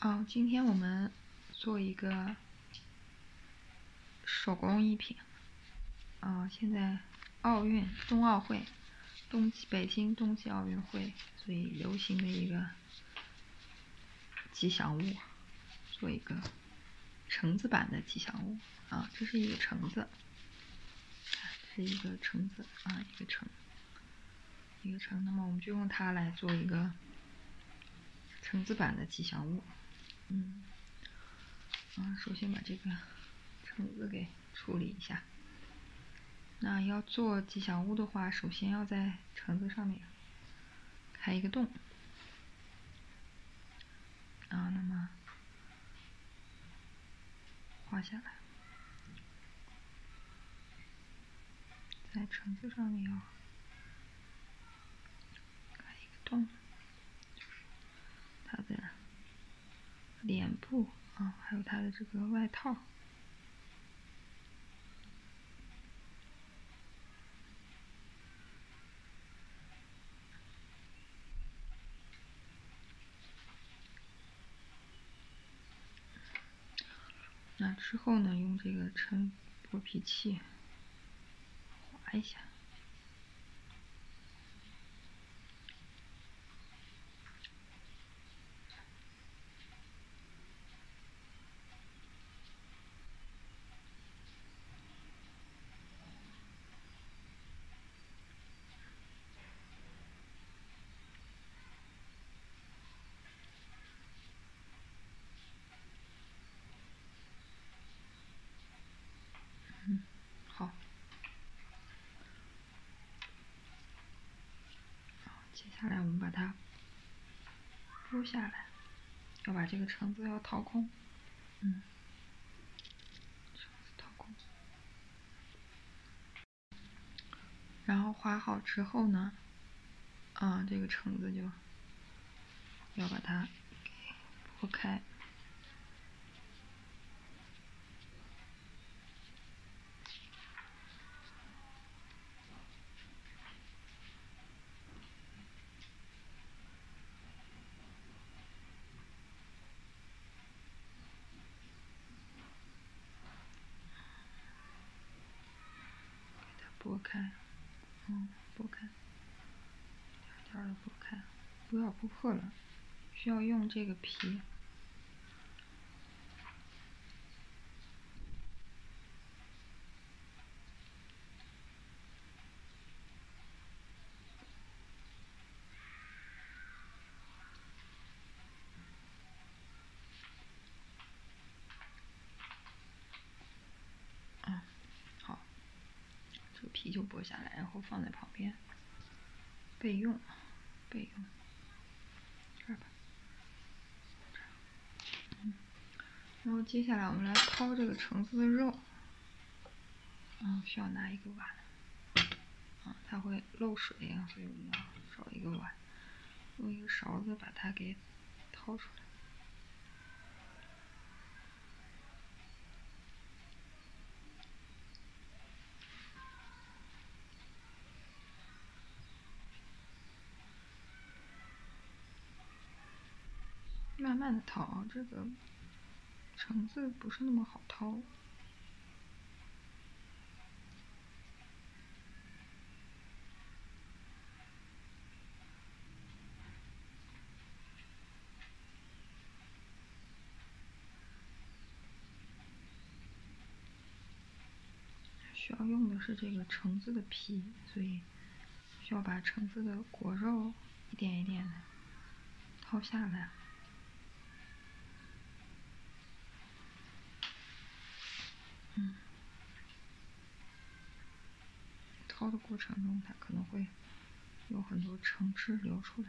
哦，今天我们做一个手工艺品。啊，现在奥运冬奥会，冬季北京冬季奥运会，所以流行的一个吉祥物，做一个橙子版的吉祥物。啊，这是一个橙子，是一个橙子啊，一个橙。一个橙，那么我们就用它来做一个橙子版的吉祥物。嗯，啊，首先把这个橙子给处理一下。那要做吉祥物的话，首先要在橙子上面开一个洞。啊，那么画下来。在橙子上面有，看一个洞，就是它的脸部啊，还有它的这个外套。那之后呢？用这个称剥皮器划一下。嗯，好。接下来我们把它剥下来，要把这个橙子要掏空。嗯，橙子掏空。然后划好之后呢，啊，这个橙子就要把它剥开。给它拨开，嗯，拨开，点点的拨开，不要拨破了。需要用这个皮。嗯。好，这个皮就剥下来，然后放在旁边备用。备用，这儿吧。嗯，然后接下来我们来掏这个橙子的肉。嗯，需要拿一个碗。它会漏水啊，所以我们要找一个碗。用一个勺子把它给掏出来，慢慢的掏啊，这个橙子不是那么好掏。需要用的是这个橙子的皮，所以需要把橙子的果肉一点一点的掏下来。掏的过程中，它可能会有很多橙汁流出来。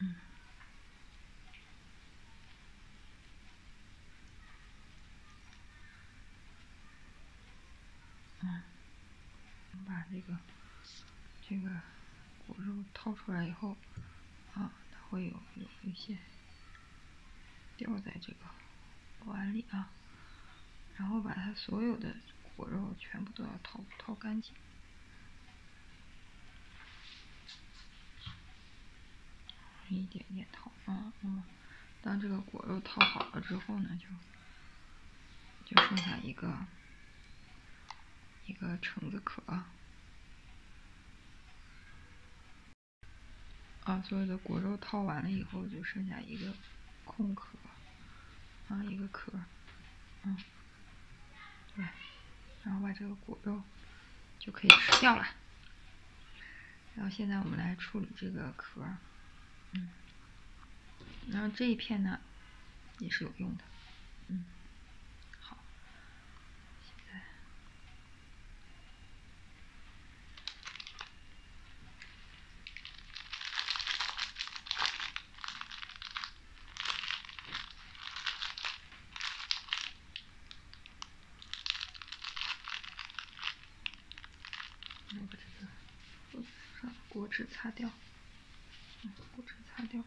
嗯。嗯。把这个，这个。果肉掏出来以后，啊，它会有有一些掉在这个碗里啊，然后把它所有的果肉全部都要掏掏干净，一点点掏啊，嗯。当这个果肉掏好了之后呢，就就剩下一个。一个橙子壳，啊，所有的果肉掏完了以后，就剩下一个空壳，啊，一个壳，嗯，对，然后把这个果肉就可以吃掉了，然后现在我们来处理这个壳，嗯，然后这一片呢。也是有用的，嗯，好，现在，我把这个我把果纸擦掉。嗯，把擦掉，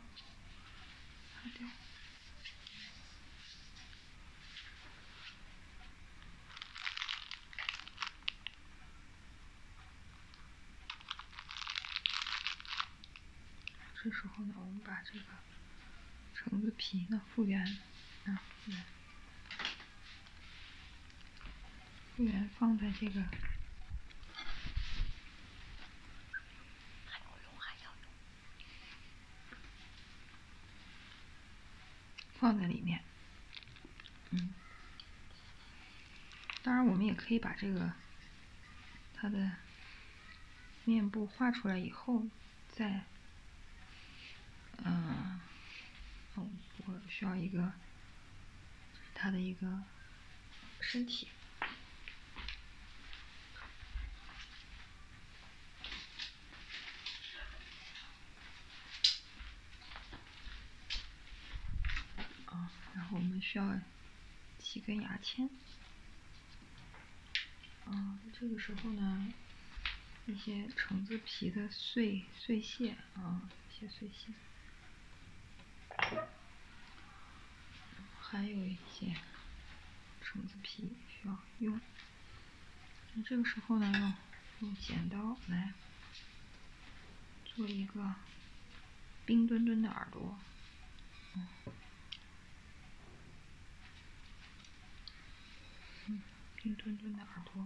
擦掉。这时候呢，我们把这个橙子皮呢复原，啊，复原，复原放在这个。还还要要用，用，放在里面，嗯。当然，我们也可以把这个它的面部画出来以后，再嗯，我我需要一个它的一个。身体。啊，然后我们需要几根牙签。啊，这个时候呢，一些橙子皮的碎碎屑，啊，一些碎屑。还有一些橙子皮需要用，那这个时候呢，用用剪刀来做一个冰墩墩的耳朵。嗯，冰墩墩的耳朵。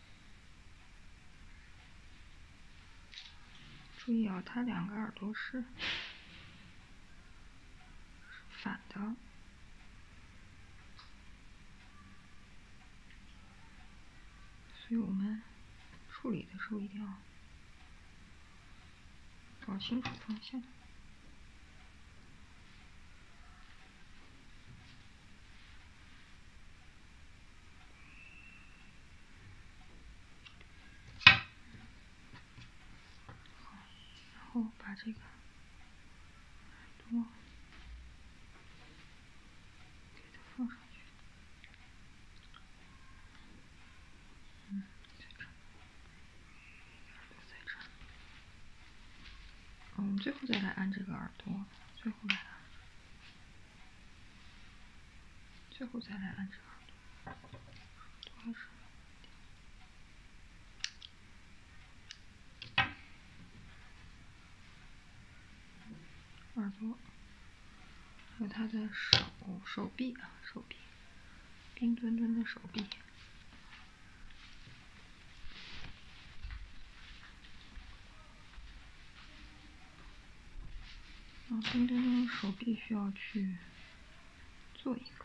注意哦，它两个耳朵是反的，所以我们处理的时候一定要搞清楚方向。好，然后把这个耳朵给它放上去。嗯，在这儿，耳朵在这儿。嗯，最后再来按这个耳朵，最后来。最后再来按这个耳朵，多的是耳朵，还有他的手、手臂啊，手臂，冰墩墩的手臂。然啊，蹲蹲蹲，手臂需要去做一个。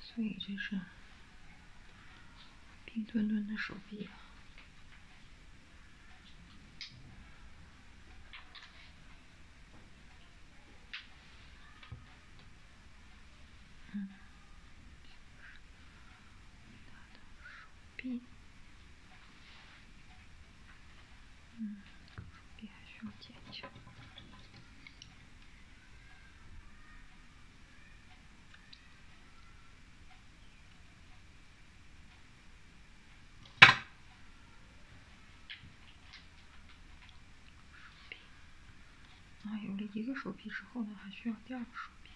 所以这是冰墩墩的手臂，嗯，嗯，手臂还需要剪一下。那有了一个手臂之后呢，还需要第二个手臂。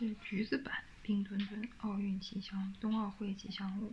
这是橘子版冰墩墩奥运吉祥冬奥会吉祥物。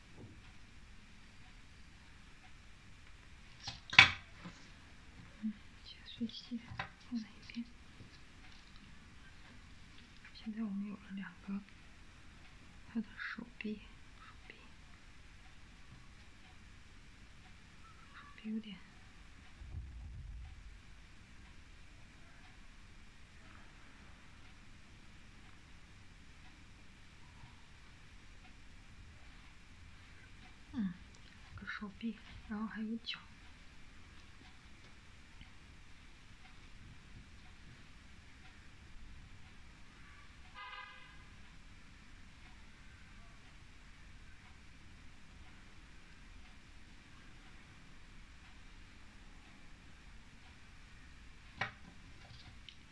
嗯，切碎机放在一边。现在我们有了两个，他的手臂，手臂，手臂有点。嗯，个手臂，然后还有脚。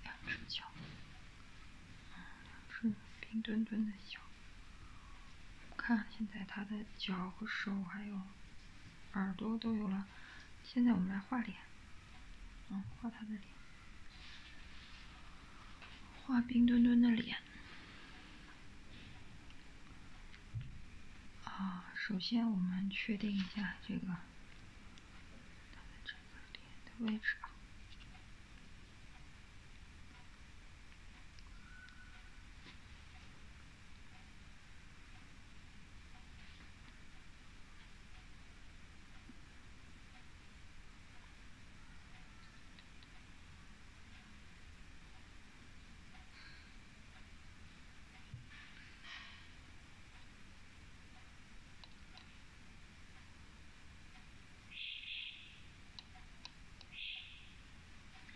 两只脚，两只墩墩的脚。看，现在它的脚和手还有耳朵都有了。现在我们来画脸。嗯，画他的脸，画冰墩墩的脸。啊，首先我们确定一下这个，他的这个脸的位置啊。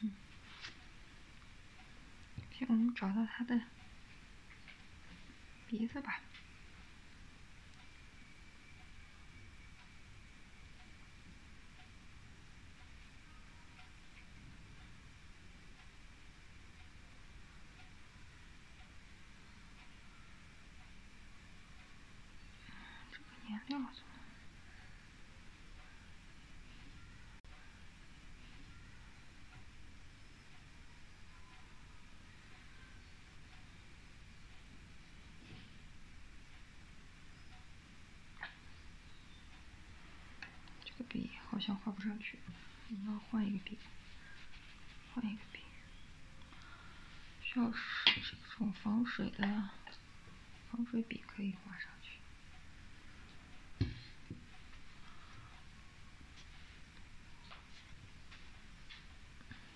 嗯，行，我们找到他的。鼻子吧，颜料这个笔好像画不上去，我们要换一个笔，换一个笔，需要是这种防水的，防水笔可以画上去。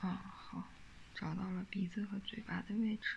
啊，好，找到了鼻子和嘴巴的位置。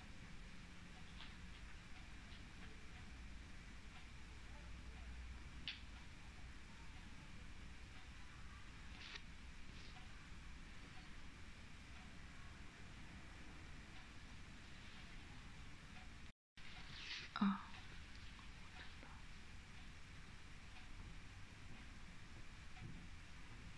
啊。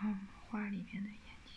然后画里面的眼睛。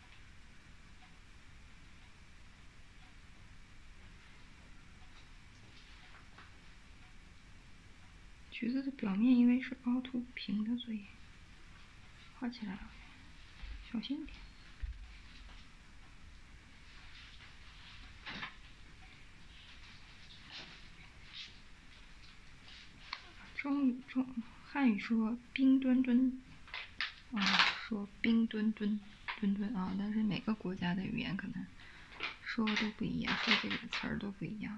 橘子的表面因为是凹凸不平的，所以画起来小心点。中中，汉语说冰墩墩。啊，说冰墩墩，墩墩啊，但是每个国家的语言可能说的都不一样，说这个词儿都不一样。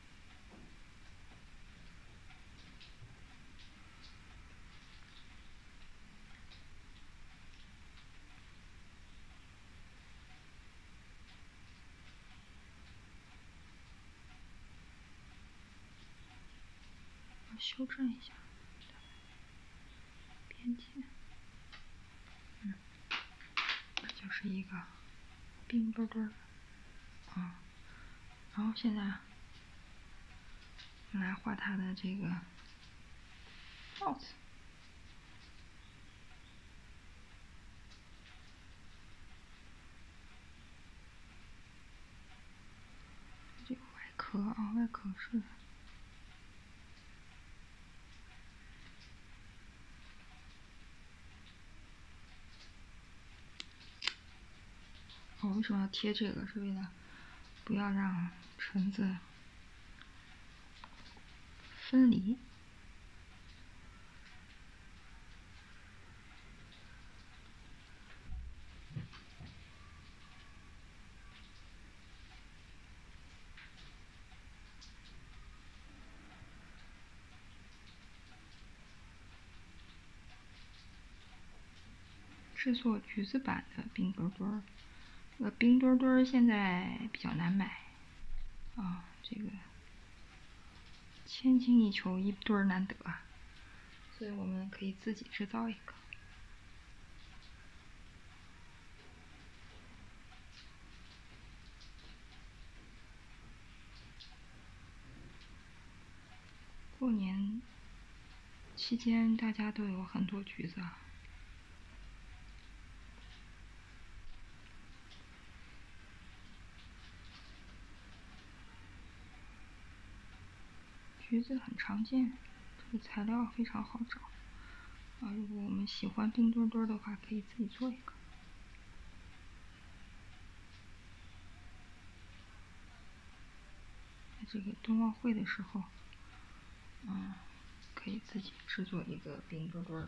我修正一下，编辑，嗯，这就是一个冰墩墩，啊。然后现在，来画它的这个帽子。这个外壳啊，外壳是。我为什么要贴这个？是为了不要让橙子分离。制作橘子版的冰墩墩，呃，冰墩墩现在比较难买啊，这个千金一球，一堆难得，所以我们可以自己制造一个。过年期间，大家都有很多橘子。橘子很常见，这个材料非常好找。啊，如果我们喜欢冰墩墩的话，可以自己做一个。在这个冬奥会的时候，嗯，可以自己制作一个冰墩墩儿。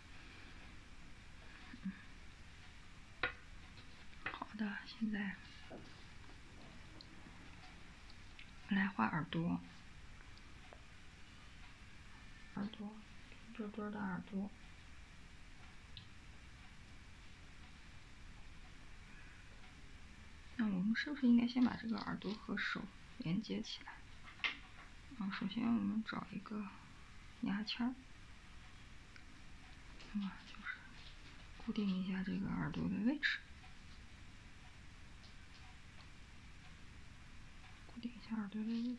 好的，现在来画耳朵。耳朵，墩墩的耳朵。那我们是不是应该先把这个耳朵和手连接起来？啊，首先我们找一个。牙签儿，么就是固定一下这个耳朵的位置，固定一下耳朵的位置。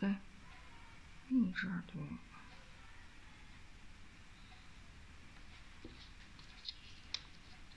对，另一只耳朵。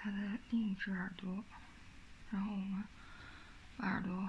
它的另一只耳朵，然后我们把耳朵。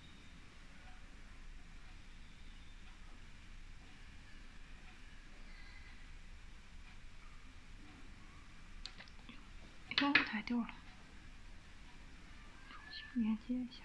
又太掉了，重新连接一下。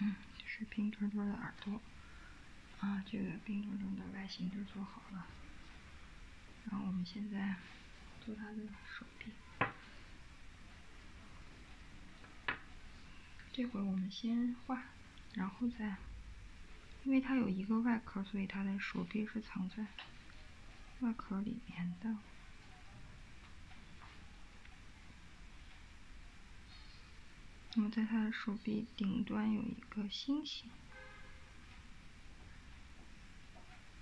嗯，是冰墩墩的耳朵啊，这个冰墩墩的外形就做好了。然后我们现在做它的手。这会儿我们先画，然后再，因为它有一个外壳，所以它的手臂是藏在外壳里面的。那么在它的手臂顶端有一个星星。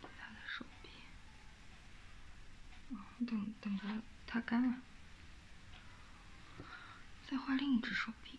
他的手臂。等等着，它干了。再画另一只手臂。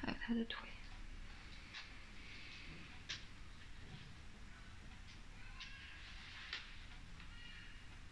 还有它的腿。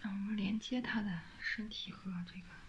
让我们连接他的身体和这个。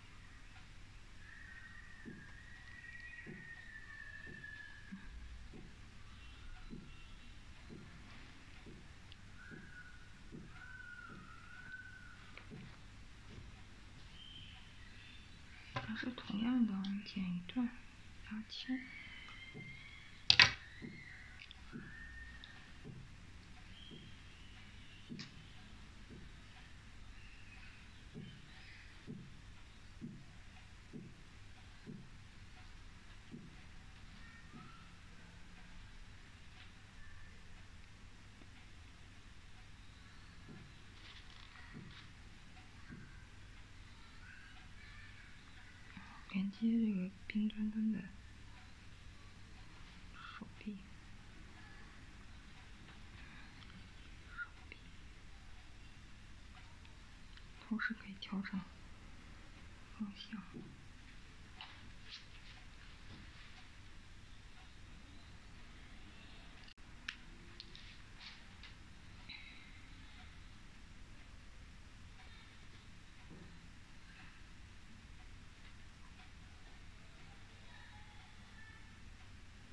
还是同样的，剪一段牙签。连接这个冰墩墩的手臂。同时可以调整方向。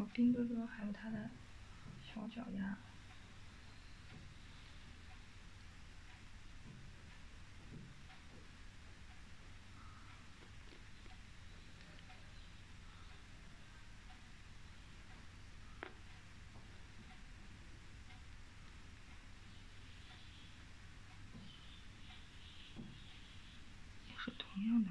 我兵哥哥还有他的小脚丫。也是同样的。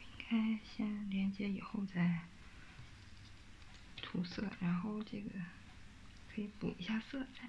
应该先连接以后再涂色，然后这个可以补一下色彩。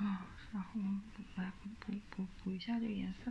啊，然后我们来补补补补一下这个颜色。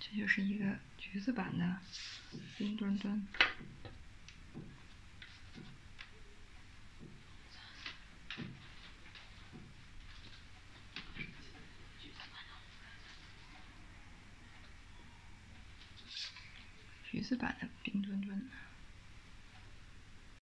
这就是一个橘子版的冰墩墩，橘子版的冰墩墩。